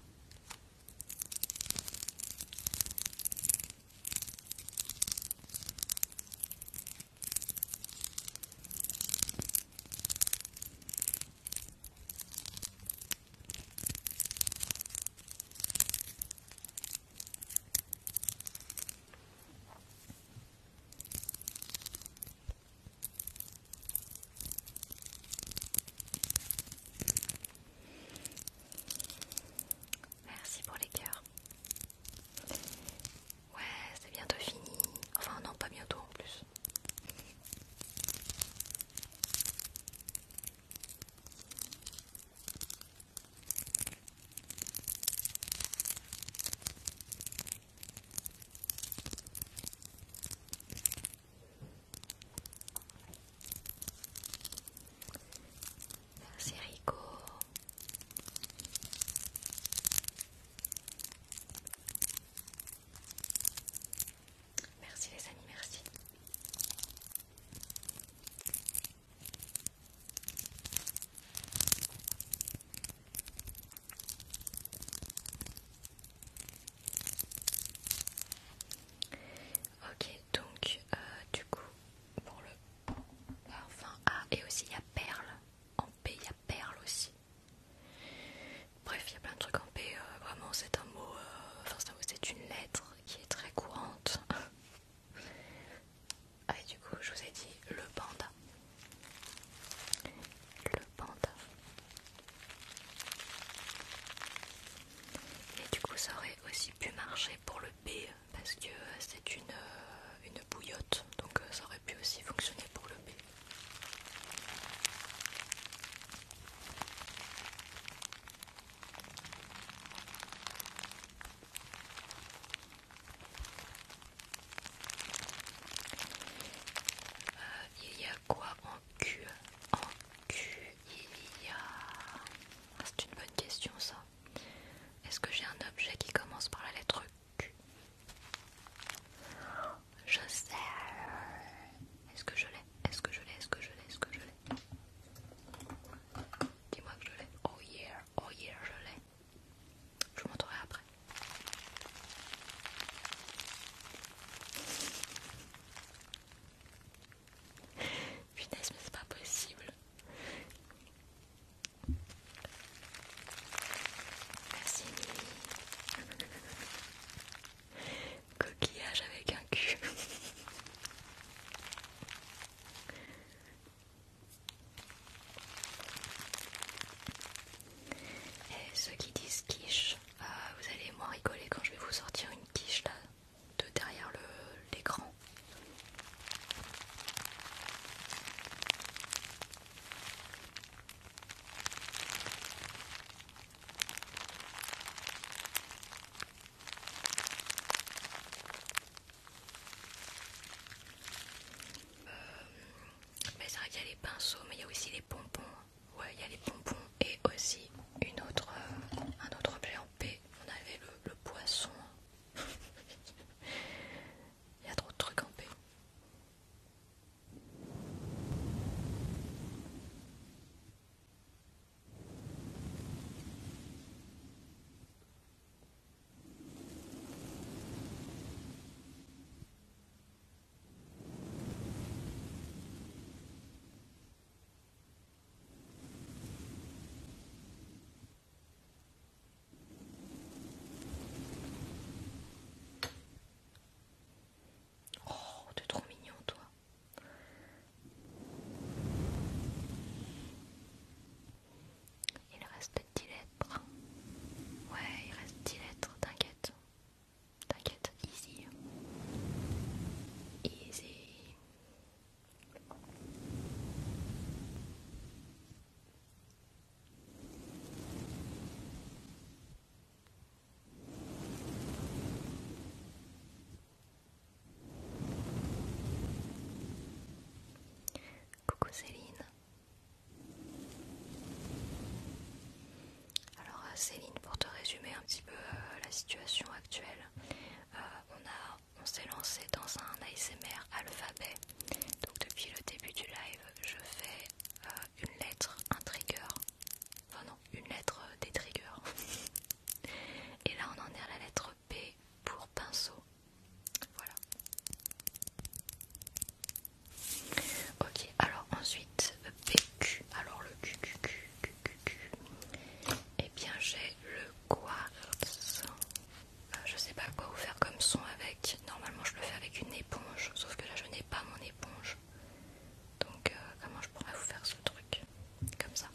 Merci pour les cœurs. Ouais, c'est bientôt fini. Enfin non, pas bientôt en plus. Merci Rico. Merci les amis, merci. Ok, donc euh, du coup, pour le enfin A, et aussi il y a perle. En P, il y a perle aussi. Bref, il y a plein de trucs en P. Euh, vraiment, c'est un mot, euh, enfin, c'est une lettre qui est très courante Ah, et du coup, je vous ai dit le panda. Le panda. Et du coup, ça aurait aussi pu marcher pour le B parce que euh, c'est une, euh, une bouillotte, donc euh, ça aurait pu aussi fonctionner pour le B. Euh, il y a quoi en Q En Q, il y a... Ah, c'est une bonne question ça. Est-ce que j'ai un objet qui commence par la lettre Q Je sais. Est-ce que je l'ai Est-ce que je l'ai Est-ce que je l'ai Est-ce que je l'ai Dis-moi que je l'ai. Oh yeah Oh yeah, je l'ai. Je vous montrerai après. Finesse, mais c'est pas possible. Merci. Coquillage avec un cul. Et ceux qui disent quiche, euh, vous allez moins rigoler quand je vais vous sortir une quiche là, de derrière l'écran. Euh, mais c'est y a les pinceaux, mais il y a aussi les pompons. Ouais, il y a les pompons et aussi une autre, euh, un autre objet en P. On avait le, le poisson. il y a trop de trucs en P. Oh, t'es trop mignon, toi. Il reste 10 lettres. Ouais, il reste 10 lettres, t'inquiète. T'inquiète, easy. Easy. Coucou Céline. Alors euh, Céline, pour te résumer un petit peu euh, la situation actuelle, euh, on, s'est lancé dans un ASMR alphabet. Donc depuis le début du live, je fais une lettre, un trigger. Enfin non, une lettre des triggers. Et là on en est à la lettre P pour pinceau. Voilà. Ok, alors ensuite PQ. Alors le Q, Et eh bien j'ai le quartz. Euh, je sais pas quoi vous faire comme son avec. Normalement je le fais avec une éponge, sauf que là je n'ai pas mon éponge. Donc euh, comment je pourrais vous faire ce truc Comme ça.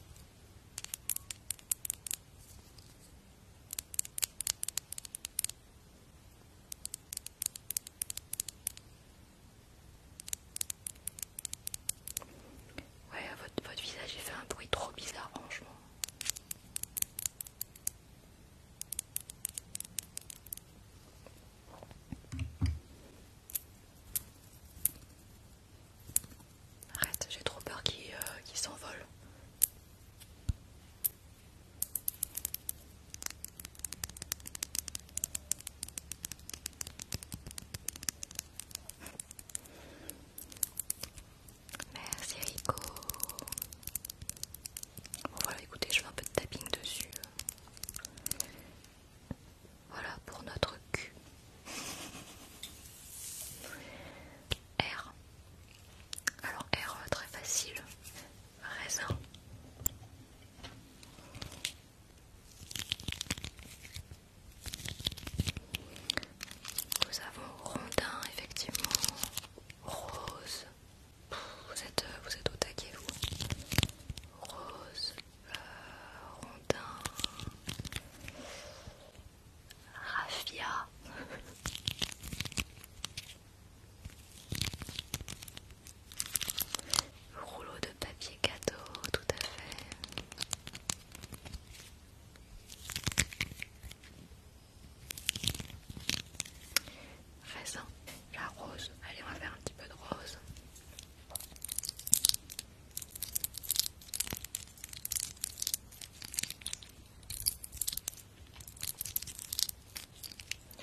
Ouais, votre, votre visage est fait un bruit trop bizarre, franchement. Arrête, j'ai trop peur euh, qu'il s'envole. Merci Rico. Bon voilà, écoutez, je fais un peu de tapping dessus. Voilà pour notre cul. R. Alors R euh, très facile, raisin. Nous avons rondin effectivement, rose. vous êtes euh, vous êtes au taquet vous. Rose, euh, rondin. Raffia. Rouleau de papier cadeau, tout à fait. Raisin, la rose. Allez, on va faire un petit peu de rose.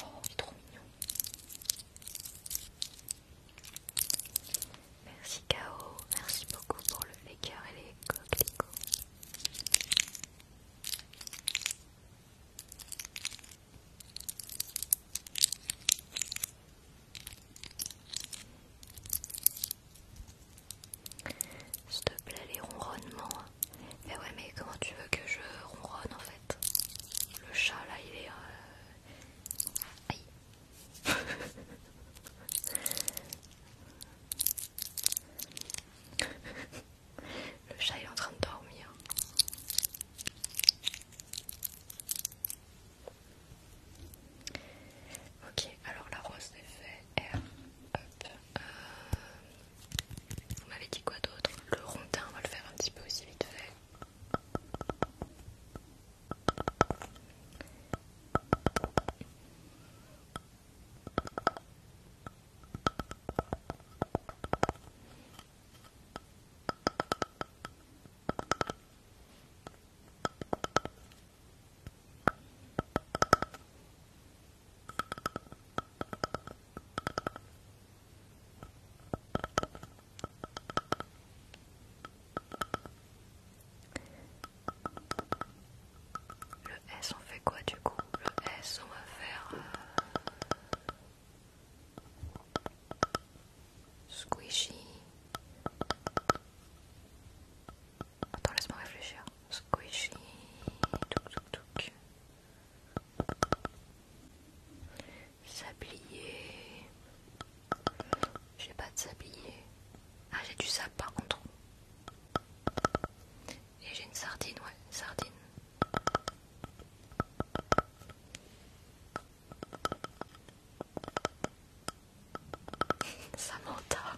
Oh, il est trop mignon. Merci Kao, merci beaucoup pour le faker et les coquelicots. S'il te plaît, les ronronnements. Mais ouais, mais comment tu veux que je ronronne en fait Le chat là, il est. Euh, Le chat est en train de dormir. Ok, alors la rose est fait. Euh, vous m'avez dit quoi d'autre Le rondin, on va le faire un petit peu aussi vite fait. Le S, on fait quoi du coup Le S, on va faire euh, squishy. Attends, laisse-moi réfléchir squishy, tuk tuk. sablier, j'ai pas de sablier, ah j'ai du sable par contre, et j'ai une sardine, ouais, sardine. Samantha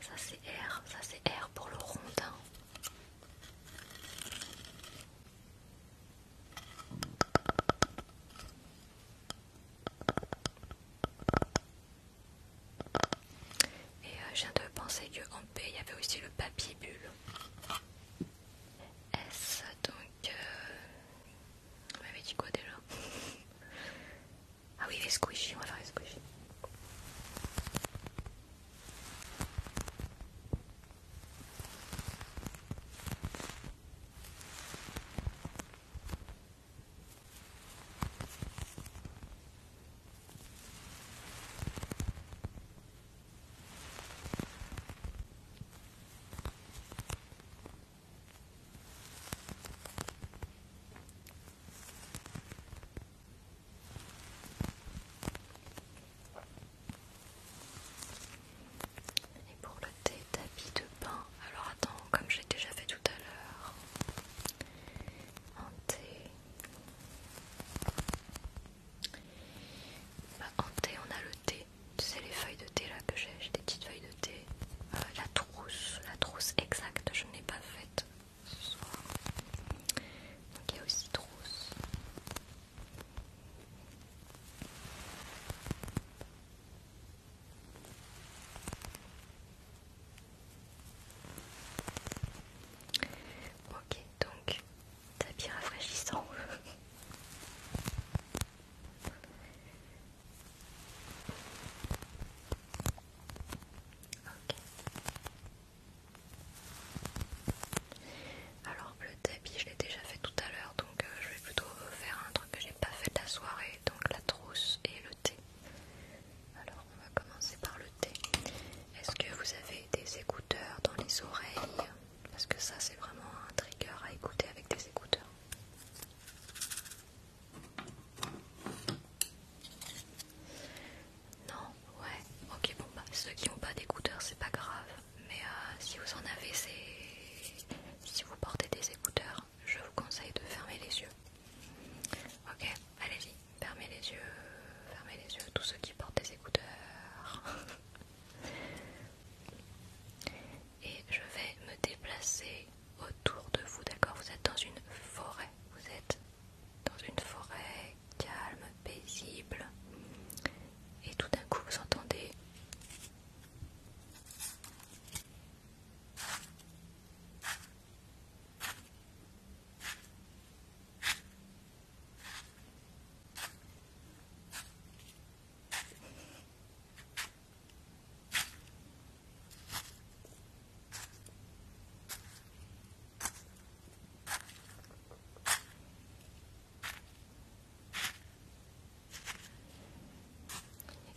Ça c'est R, ça c'est R pour le rondin. Et euh, je viens de penser qu'en P il y avait aussi le papier bulle. S donc euh, on m'avait dit quoi déjà Ah oui, les squishy on va faire les squishy et pour le thé, tapis de pain. Alors attends, comme j'ai déjà fait tout à l'heure, en thé. Bah, en thé, on a le thé c'est les feuilles de thé là que j'ai, j'ai des petites feuilles de thé. Euh, la trousse, la trousse exacte, je ne l'ai pas faite ce soir. Donc il y a aussi trousse. Ok, donc tapis rafraîchissant. Alors le tapis je l'ai déjà fait tout à l'heure donc euh, je vais plutôt faire un truc que j'ai pas fait de la soirée donc la trousse et le thé. Alors on va commencer par le thé. Est-ce que vous avez des écouteurs dans les oreilles Parce que ça c'est vraiment un trigger à écouter avec des écouteurs. Non, ouais, ok, bon, bah, ceux qui n'ont pas d'écouteurs, c'est pas grave, mais euh, si vous en avez, c'est. Si vous portez des écouteurs, je vous conseille de fermer les yeux. Ok, allez-y, fermez les yeux, fermez les yeux, tous ceux qui portent des écouteurs. et je vais me déplacer autour de vous, d'accord Vous êtes dans une forêt, vous êtes dans une forêt calme, paisible, et tout d'un coup vous entendez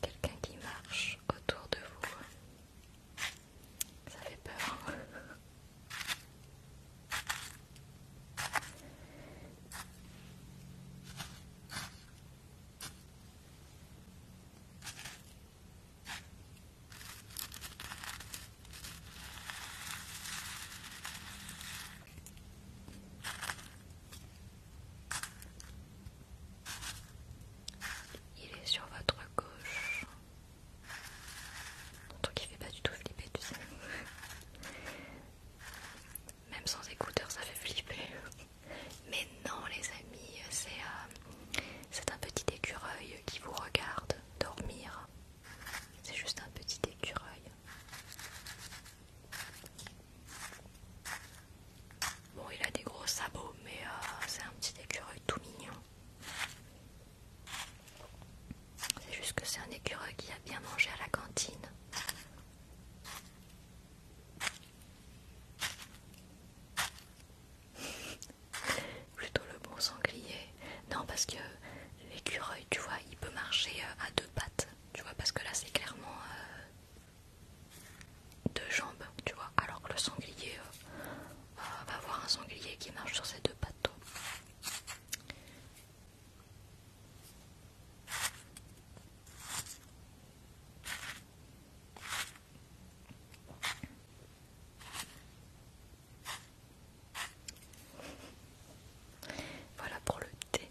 il y a quelqu'un qui marche autour de vous. Ça fait peur. Hein. Il est sur votre gauche. donc il ne fait pas du tout flipper, tu sais. Même sans écouteurs, ça fait flipper. Mais non les amis, euh, c'est un petit écureuil qui vous regarde dormir. C'est juste un petit écureuil. Bon, il a des gros sabots, mais euh, c'est un petit écureuil tout mignon. C'est juste que c'est un écureuil qui a bien mangé à la cantine. Plutôt le bon sanglier. Non, parce que l'écureuil, tu vois, il peut marcher euh, à deux pattes. Tu vois, parce que là, c'est clairement euh, deux jambes, tu vois. Alors que le sanglier, euh, va voir un sanglier qui marche sur ses deux pattes. Voilà pour le thé.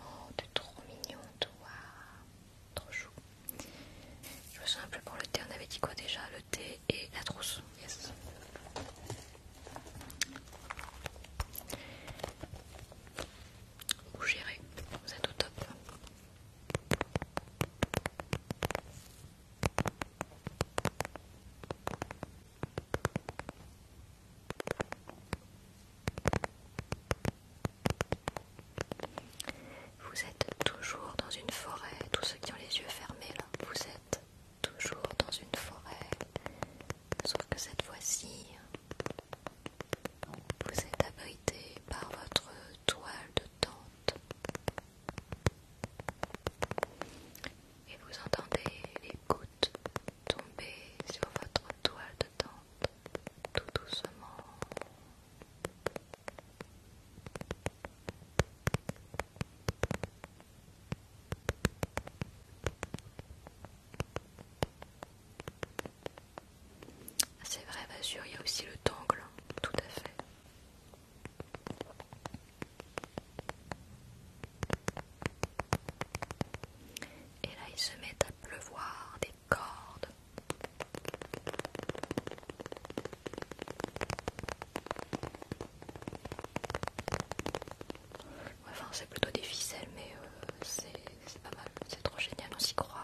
Oh, es trop mignon, toi. Trop chou. Je me un peu pour le thé. On avait dit quoi déjà Le thé et la trousse. Yes vous gérez, vous êtes au top. Vous êtes toujours dans une forêt, tous ceux qui ont les yeux fermés là, vous êtes toujours dans une forêt, sauf que cette fois-ci, vous êtes abrité par votre toile de tente et vous entendez les gouttes tomber sur votre toile de tente tout doucement. C'est vrai, bien sûr, il y a aussi le tangle, tout à fait. Et là, ils se mettent à pleuvoir des cordes. Enfin, c'est plutôt difficile mais euh, c'est pas mal. C'est trop génial, on s'y croirait.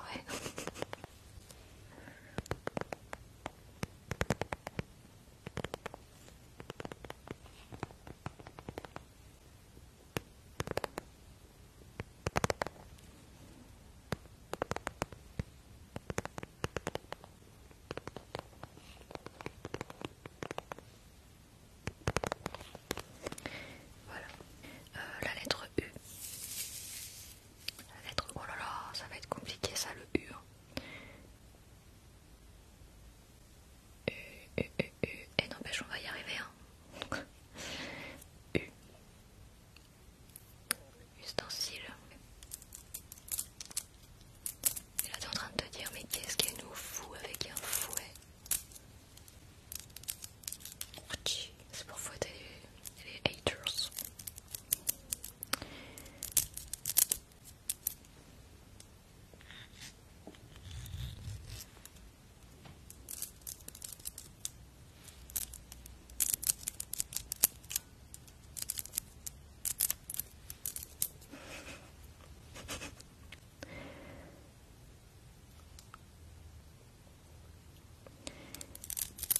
Voilà. Euh, la lettre U. La lettre... Oh là là, ça va être compliqué ça le U. Hein. U, U, U, U. Et eh, n'empêche, on va y arriver. Hein. U. Ustensile. Et là, t'es en train de te dire, mais qu'est-ce qu'elle nous fout avec un fouet c'est pour fouetter les, haters.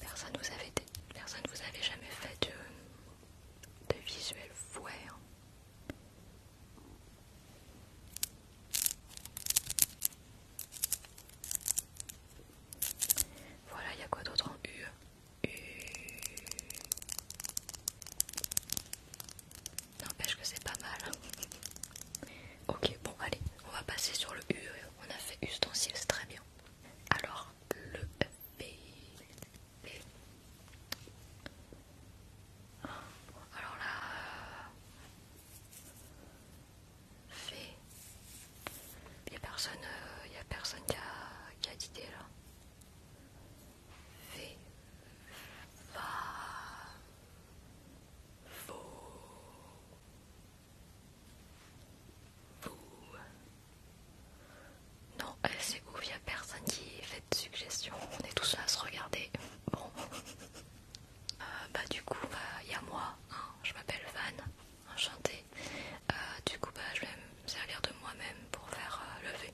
Personne vous avait personne vous avait jamais fait de, de visuel fouet. Hein. Voilà, il y a quoi d'autre en U... N'empêche que c'est pas mal. ok, bon, allez, on va passer sur le U. On a fait ustensile, c'est très bien. Alors, le B. Alors là. F. Il a personne, euh, personne qui a, qui a d'idée là. V. Va vous, vous. Non, euh, c'est ouf, il n'y a personne qui fait de suggestion, on est tous là à se regarder. Bon, euh, bah du coup, il bah, y a moi, hein. je m'appelle Van, enchantée. Euh, du coup, bah, je vais me servir de moi-même pour faire lever.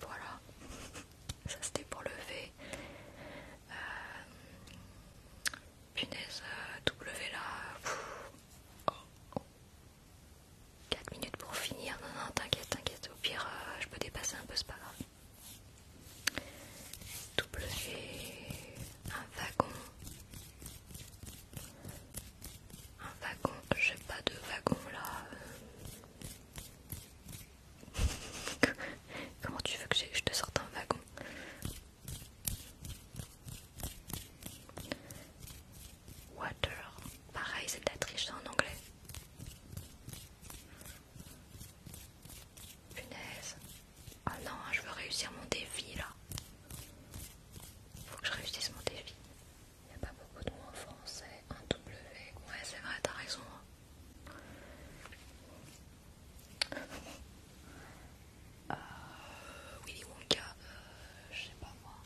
Voilà, ça c'était pour le V. Euh, punaise, euh, W là. 4 minutes pour finir, non, non, t'inquiète, t'inquiète, au pire euh, je peux dépasser un peu, c'est pas grave. W, un wagon, un wagon, j'ai pas de wagon là. Comment tu veux que je te sorte un wagon Water, pareil, c'est de la triche en anglais. Punaise. Ah non, je veux réussir mon défi là. Il Faut que je réussisse mon défi. Il n'y a pas beaucoup de mots en français. Un W. Ouais, c'est vrai, t'as raison. Hein. Euh, Willy Wonka, euh, je sais pas moi.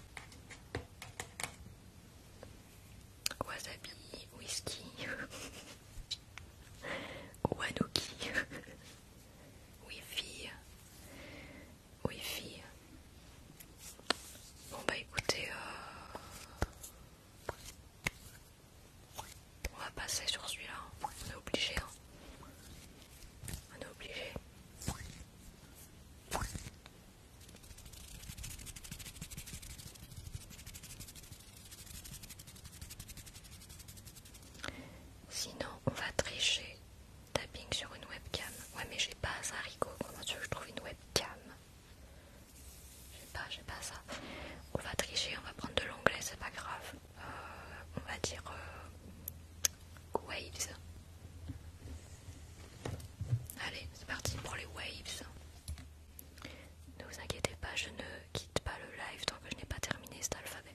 Wasabi, whisky, Wanuki. Oui fille. Oui fille. Bon bah écoutez, euh, on va passer sur celui-là. Hein. On est obligé. Hein. On est obligé. Sinon, on va tricher. Tapping sur une webcam. Ouais, mais j'ai pas ça, Rico. Comment tu veux que je trouve une webcam J'ai pas, j'ai pas ça. On va tricher, on va prendre de l'anglais, c'est pas grave. Euh, on va dire euh, waves. Allez, c'est parti pour les waves. Ne vous inquiétez pas, je ne quitte pas le live tant que je n'ai pas terminé cet alphabet.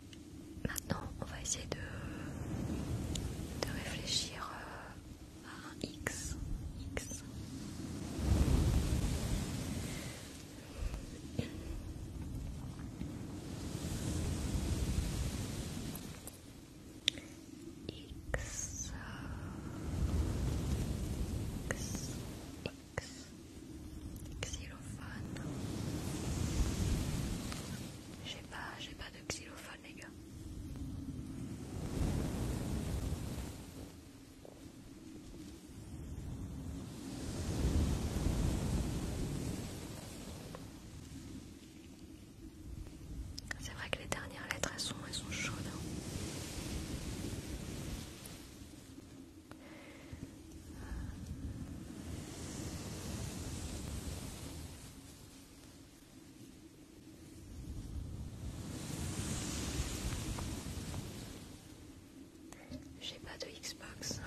Maintenant, on va essayer de, réfléchir euh, à X, X, X, xylophone. J'ai pas, j'ai pas de xylophone les gars. C'est vrai que les dernières lettres elles sont, elles sont chaudes. Hein. J'ai pas de Xbox.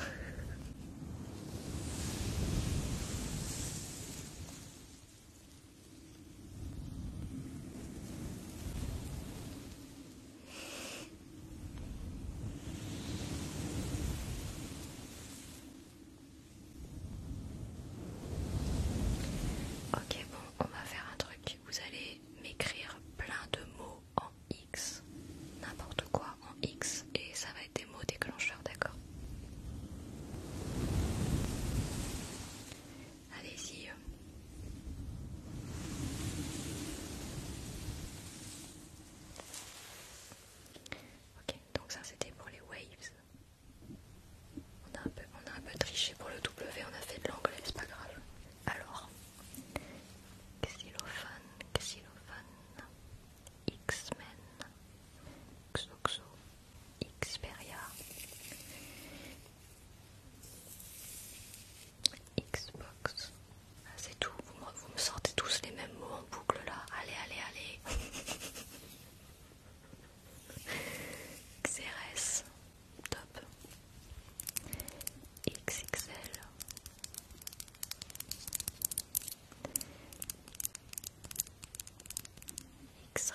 Ok, bon, on va faire un truc. Vous allez m'écrire plein de mots en X, n'importe quoi en X, et ça va être des mots déclencheurs, d'accord Allez-y. Ok, donc ça c'était pour les waves. On a, un peu, triché pour le W, on a fait de l'anglais, c'est pas grave. Alors, xylophone, xylophone, X-Men, Xoxo, Xperia, Xbox, c'est tout, vous me, sortez tous les mêmes mots en boucle là. Allez, allez, allez. XRS, top. XXL. x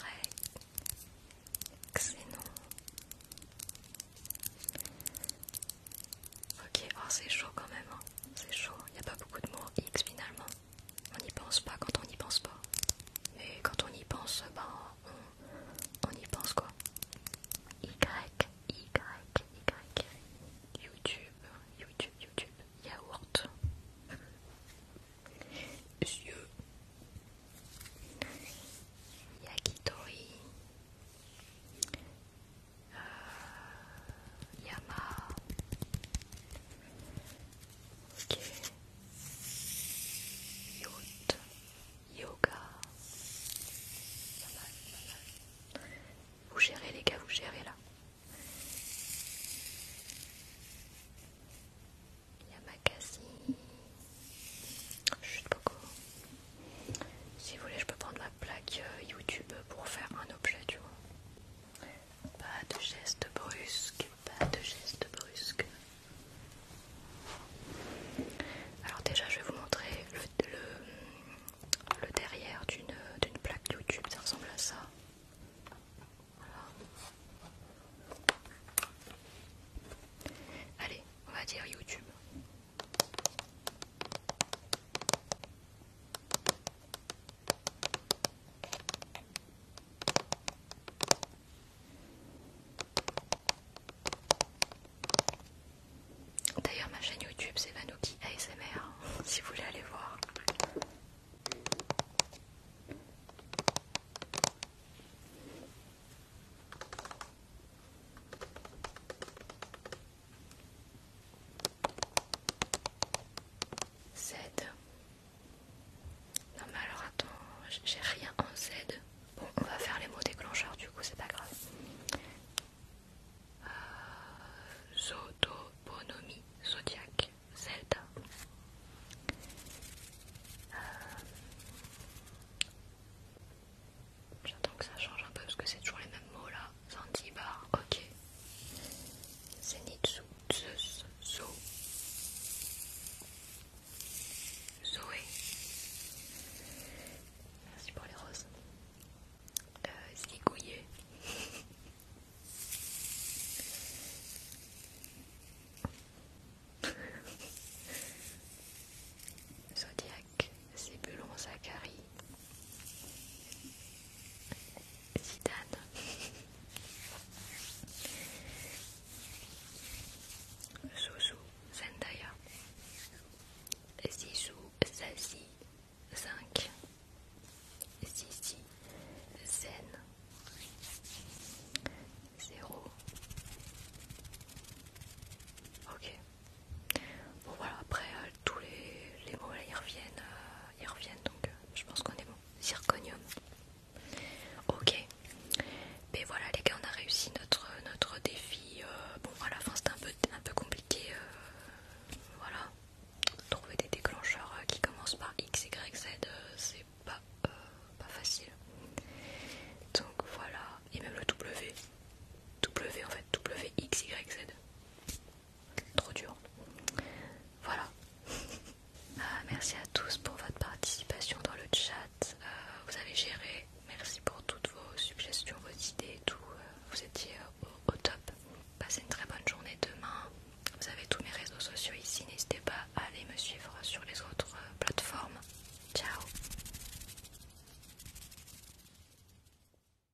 Ok, oh, c'est chaud quand même, hein. c'est chaud, il n'y a pas beaucoup de mots X finalement. On n'y pense pas quand on n'y pense pas. Mais quand on y pense, ben, on, y pense quoi. Y, Y, Y, YouTube, YouTube, YouTube, yaourt. Yakitori. Yama, Ok. Yacht. Yoga. Vous gérez les gars, vous gérez là. Yamakasi. suis beaucoup si vous voulez, je peux prendre ma plaque euh, YouTube pour faire un objet, du vois. Pas de geste brusque, pas de geste brusque. Alors déjà, je vais vous montrer le, le, derrière d'une plaque YouTube, ça ressemble à ça. Allez, on va dire YouTube. D'ailleurs, ma chaîne YouTube c'est Vanoki ASMR hein, si vous voulez aller voir. Z. Non mais alors attends, j'ai rien en Z. Bon, on va faire les mots déclencheurs du coup, c'est pas grave. Euh, Zodoponomie, zodiaque, Zelda. Euh, j'attends que ça change un peu parce que c'est toujours les mêmes mots là. Santibar, ok. Zenitsu, Zeus, Zo, Zoé. Merci pour les roses. qu'il euh, Zigouillé. Zodiac. Isaac, Zébulon Zacharie, Zidane. Zouzou, Zendaya, Zizou, Zazie, Cinq. Zizi, Zen, Zéro. Ok. Bon voilà, après euh, tous les, mots là ils reviennent, euh, reviennent donc euh, je pense qu'on est bon. Zirconium. Ok. Mais voilà les gars, on a réussi notre, défi. bon voilà, la c'était un peu, un compliqué. voilà. Trouver des déclencheurs qui commencent par X, Y, Z, c'est pas, pas facile. Donc voilà. Et même le W. W en fait, W, X, Y, Z trop dur. Voilà. Ah, merci à tous pour votre participation dans le chat. Euh, vous avez géré. Merci pour toutes vos suggestions, vos idées et tout. Euh, vous étiez au, top. Passez une très bonne journée demain. Vous avez tous mes réseaux sociaux ici. N'hésitez pas à aller me suivre sur les autres euh, plateformes. Ciao